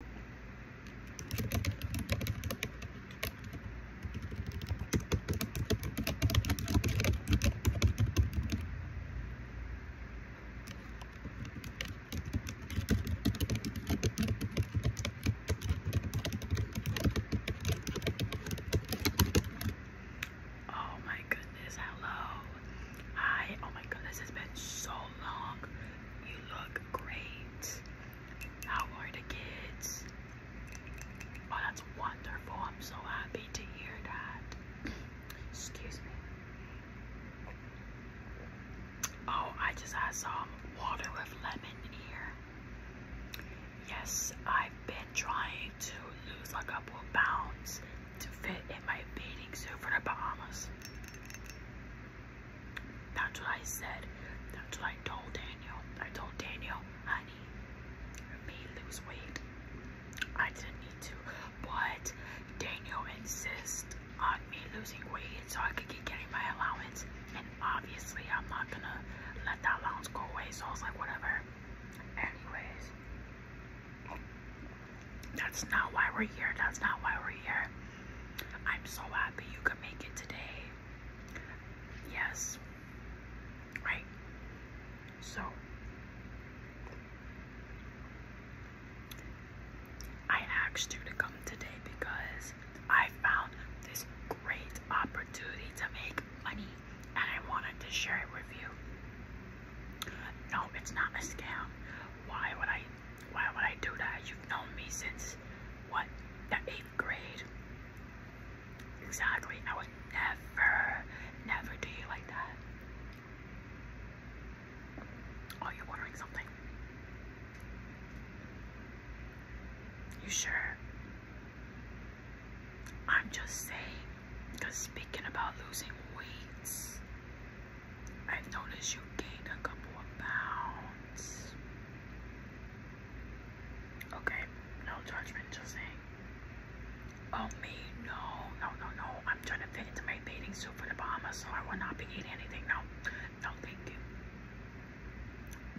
Oh my goodness, hello. Hi, oh my goodness, it's been so long you look great. How are the kids? Oh, that's wonderful. I'm so happy to hear that. Excuse me. Oh, I just had some water with lemon here. Yes, I've been trying to lose a couple pounds to fit in my bathing suit for the Bahamas. That's what I said. That's what I told Daniel. I told Daniel, honey, me lose weight. I didn't need to, but Daniel insists on me losing weight so I could keep getting my allowance. And obviously, I'm not gonna let that allowance go away. So I was like, whatever. Anyways. That's not why we're here. That's not why we're here. I'm so happy you could make it today. Yes. Right. So I asked to come today because I found this great opportunity to make money and I wanted to share it with you. No, it's not a scam. Why would I why would I do that? You've known me since, what, the 8th grade? Exactly. I would never, never do you like that. Oh, you're ordering something. You sure? I'm just saying, because speaking about losing weights, I've noticed you gained a couple of pounds. Okay, no judgment, just Oh me, no, no, no, no. I'm trying to fit into my bathing suit for the Bahamas, so I will not be eating anything. No, no, thank you.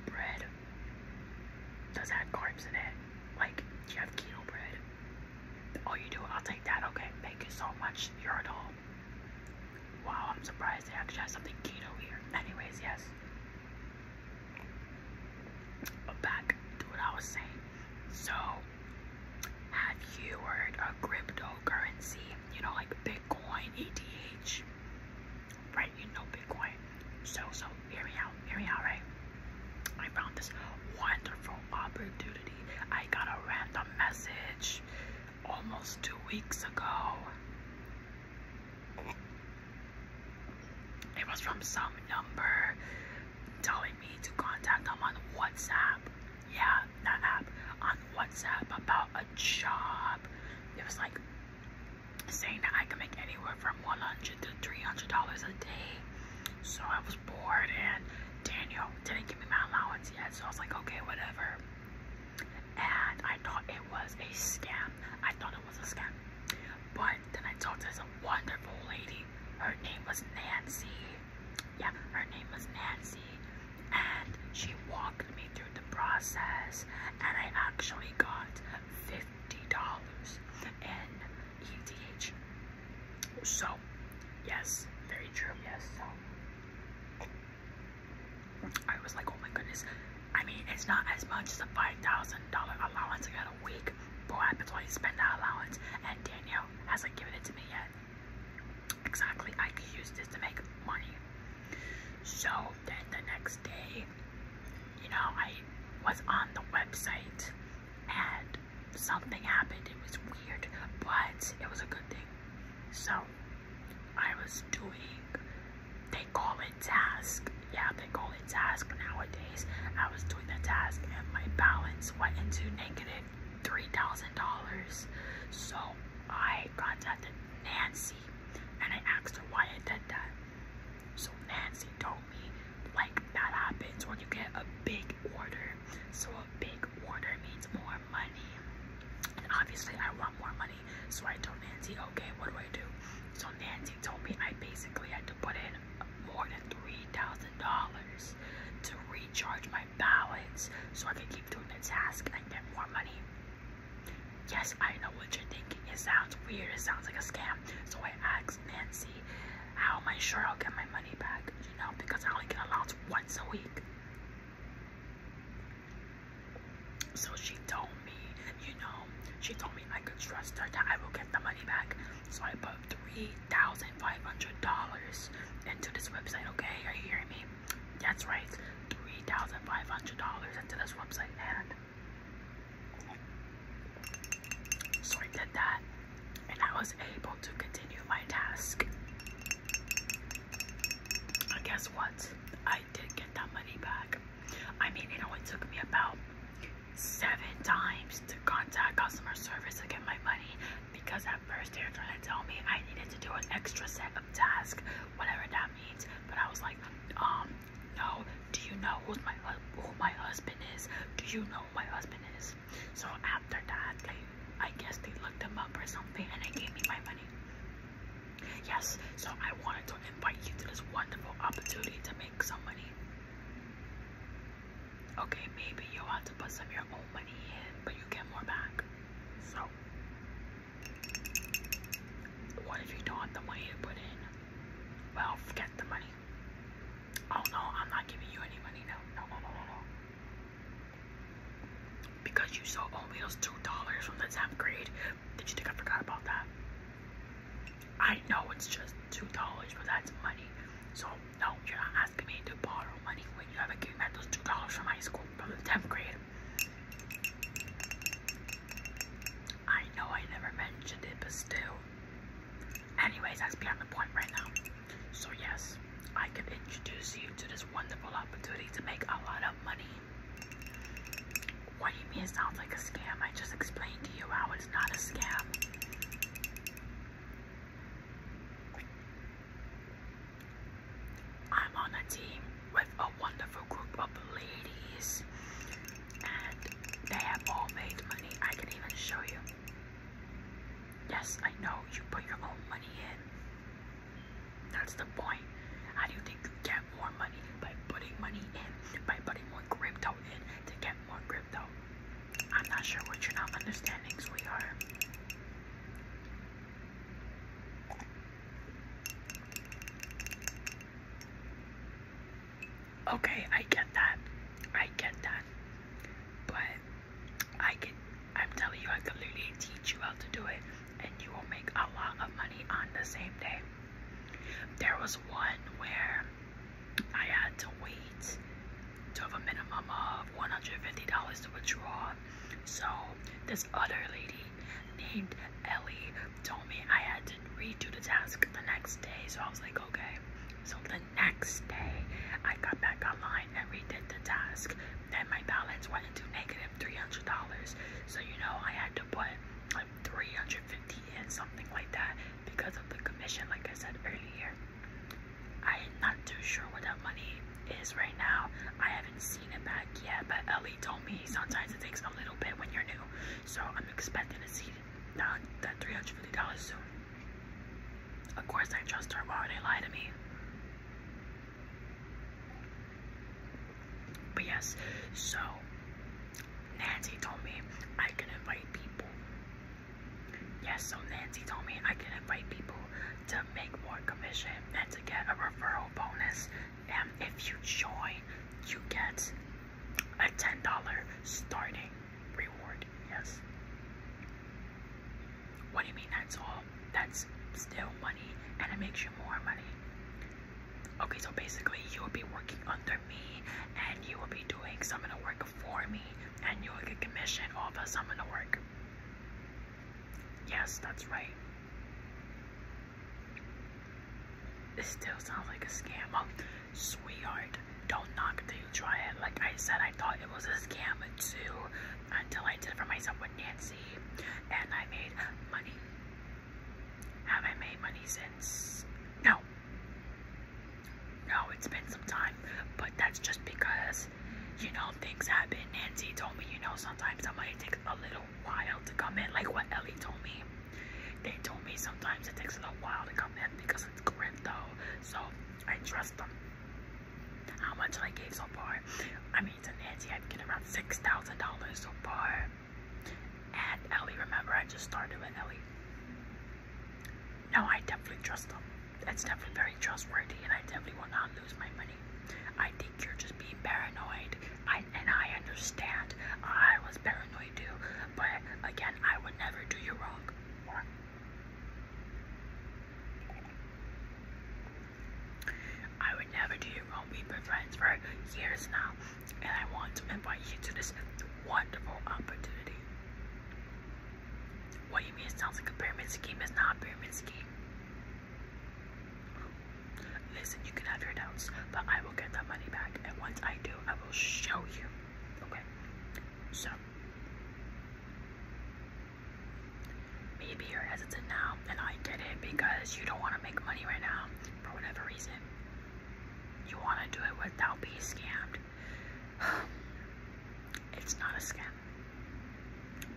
Bread. Does have carbs in it? Like, you have keto bread? Oh, you do? I'll take that. Okay, thank you so much. You're a doll. Wow, I'm surprised they actually have something keto here. Anyways, yes. But back to what I was saying. So, have you heard of cryptocurrency? You know, like Bitcoin, ETH, right? You know Bitcoin. So, so hear me out, hear me out, right? I found this wonderful opportunity. I got a random message almost two weeks ago. It was from some number telling me to contact them on WhatsApp. Yeah, that app on WhatsApp about a job. It was like saying that I could make anywhere from 100 to 300 dollars a day. So I was bored, and Daniel didn't give me my allowance yeah, so I was like, okay, whatever. And I thought it was a scam. I thought it was a scam. But then I talked to this wonderful lady. Her name was Nancy. Yeah, her name was Nancy. And she walked me through the process. And I actually got $50 in ETH. So, yes, very true. Yes, so I was like, oh my goodness. I mean, it's not as much as a five thousand dollar allowance I got a week. Boy, I could totally spend that allowance, and Danielle hasn't given it to me yet. Exactly, I could use this to make money. So then the next day, you know, I was on the website and something happened. It was weird, but it was a good thing. So I was doing, they call it task. Yeah, they call it task nowadays. I was doing the task and my balance went into $3,000. So I contacted Nancy and I asked her why I did that. So Nancy told me like that happens when you get a big order. So a big like means more money. And obviously I want more money. So I told Nancy, okay, what do I do? So Nancy told me I basically had to put in more than $3,000 to recharge my balance so I could keep doing the task and get more money. Yes, I know what you're thinking. It sounds weird. It sounds like a scam. So I asked Nancy, how am I sure I'll get my money back? you know, because I only get allowance once a week. So she told me, you know, she told me I could trust her that I will get the money back. So I put three thousand five hundred dollars into this website. Okay, are you hearing me? That's right, three thousand five hundred dollars into this website, and so did that and I was able to continue my task. And guess what? I did get that money back. I mean, it only took me about seven times to contact customer service to get my money because at first they were trying to tell me I needed to do an extra set of tasks, whatever that means. But I was like, um, no. Do you know who's my who my husband is? Do you know who my husband is? So after that, like, I guess they looked them up or something and they gave me my money. Yes, so I wanted to invite you to this wonderful opportunity to make some money. Okay, maybe you want to put some of your own money in, but you get more back. So, what if you don't have the money to put in? Well, forget the money. Oh no, I'm not giving you any money. No, no, no, no, no, Because you sold oatmeal's two dollars from the 10th grade. Did you think I forgot about that? I know it's just two dollars, but that's money. So no, you're not asking me to borrow money when you have a given back those two dollars from high school from the 10th grade. I know I never mentioned it, but still. Anyways, that's beyond the point right now. So yes, I can introduce you to this wonderful opportunity to make a lot of money. What do you mean it sounds like a scam? I just explained to you how it's not a scam. I'm on a team with a wonderful group of ladies and they have all made money. I can even show you. Yes, I know you put your own money in. That's the point. How do you think you get more money? By putting money in, by putting more crypto in to get more crypto. I'm not sure what you're not understanding, Okay, I get that. I get that. But I can I'm telling you I can literally teach you how to do it and you will make a lot of money on the same day. There was one where I had to wait to have a minimum of $150 to withdraw. So this other lady named Ellie told me I had to redo the task the next day. So I was like, okay. So the the next day, I got back online and redid the task. Then my balance went into negative $300. So, you know, I had to put like 350 in, something like that, because of the commission, like I said earlier. I'm not too sure what that money is right now. I haven't seen it back yet, but Ellie told me sometimes it takes a little bit when you're new. So I'm expecting to see that $350 soon. Of course I trust her. Why would they lie to me? But yes, so Nancy told me I can invite people. Yes, so Nancy told me I can invite people to make more commission and to get a referral bonus. And if you join, you get a $10 starting Reward, yes. What do you mean that's all? That's still money and it makes you more money. Okay, so basically you will be working under me and you will be doing some of the work for me and you will get commission off of some of the work. Yes, that's right. This still sounds like a scam. Oh, Sweetheart, don't knock till you try it. Like I said, I thought it was a scam too until I did it for myself with Nancy and I made money. Have I made money since? No. No, it's been some time, but that's just because, you know, things happen. Nancy told me, you know, sometimes somebody takes a little while to come in, like what Ellie told me. They told me sometimes it takes a little while to come in because it's Corinto, so I trust them. How much I gave so far? I mean, to Nancy, I've given around six thousand dollars so far. And Ellie, remember, I just started with Ellie. No, I definitely trust them. It's definitely very trustworthy, and I definitely will not lose my money. I think you're just being paranoid. I and I understand. I was paranoid but again, I would never do you wrong. I would never do you wrong. We've been friends for years now, and I want to invite you to this wonderful opportunity. What you mean sounds like a pyramid scheme? It's not a pyramid scheme. Listen, you can have your doubts, but I I will get that money back. And once I do, I will show you. Okay? So, maybe you're hesitant now, and I get it because you don't want to make money right now for whatever reason. You want to do it without being scammed. It's not a scam.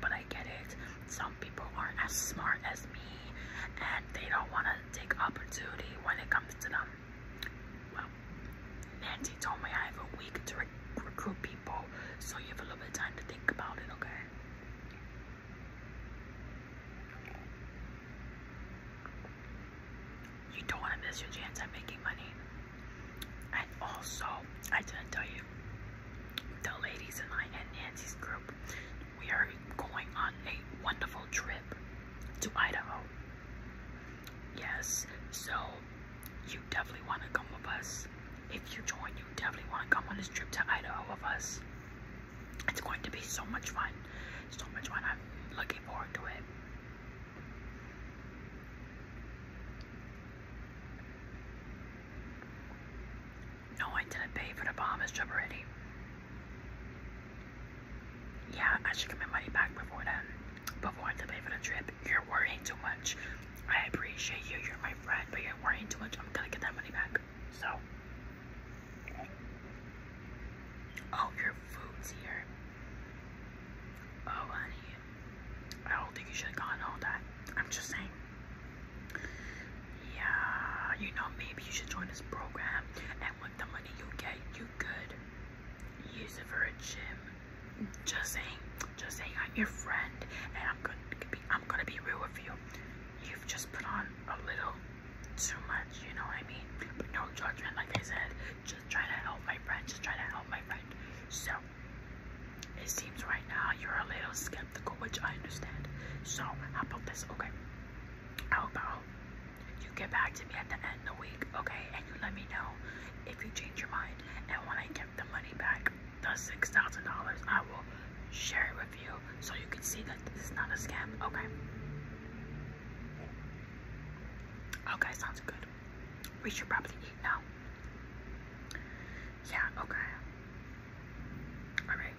But I get it. Some people aren't as smart as me and they don't want to take opportunity when it comes to them. Well, Nancy told me I have a week to recruit people, so you have a little bit of time to think about it, okay? You don't want to miss your chance at making money. And also, I didn't tell you, the ladies in my and Nancy's group we are going on a wonderful trip to Idaho. Yes, so you definitely want to come with us. If you join, you definitely want to come on this trip to Idaho with us. It's going to be so much fun. So much fun. I'm looking forward to it. No, I didn't pay for the Bahamas trip already. Yeah, I should get my money back before then. Before I have to pay for the trip. You're worrying too much. I appreciate you. You're my friend, but you're worrying too much. I'm gonna get that money back. So. Oh, your food's here. Oh, honey. I don't think you should have gotten all that. I'm just saying. Yeah, you know, maybe you should join this program with the money you get, you could use it for a gym. Just saying, just saying, I'm your friend, and I'm gonna be, I'm gonna be real with you. You've just put on a little too much, you know what I mean? But no judgment, like I said. Just try to help my friend. Just try to help my friend. So it seems right now you're a little skeptical, which I understand. So how about this? Okay how about you get back to me at the end of the week, okay? And you let me know if you change your mind. And when I get the money back, the $6,000, I will share it with you so you can see that this is not a scam, okay? Okay, sounds good. We should probably eat now. Yeah, okay. Alright.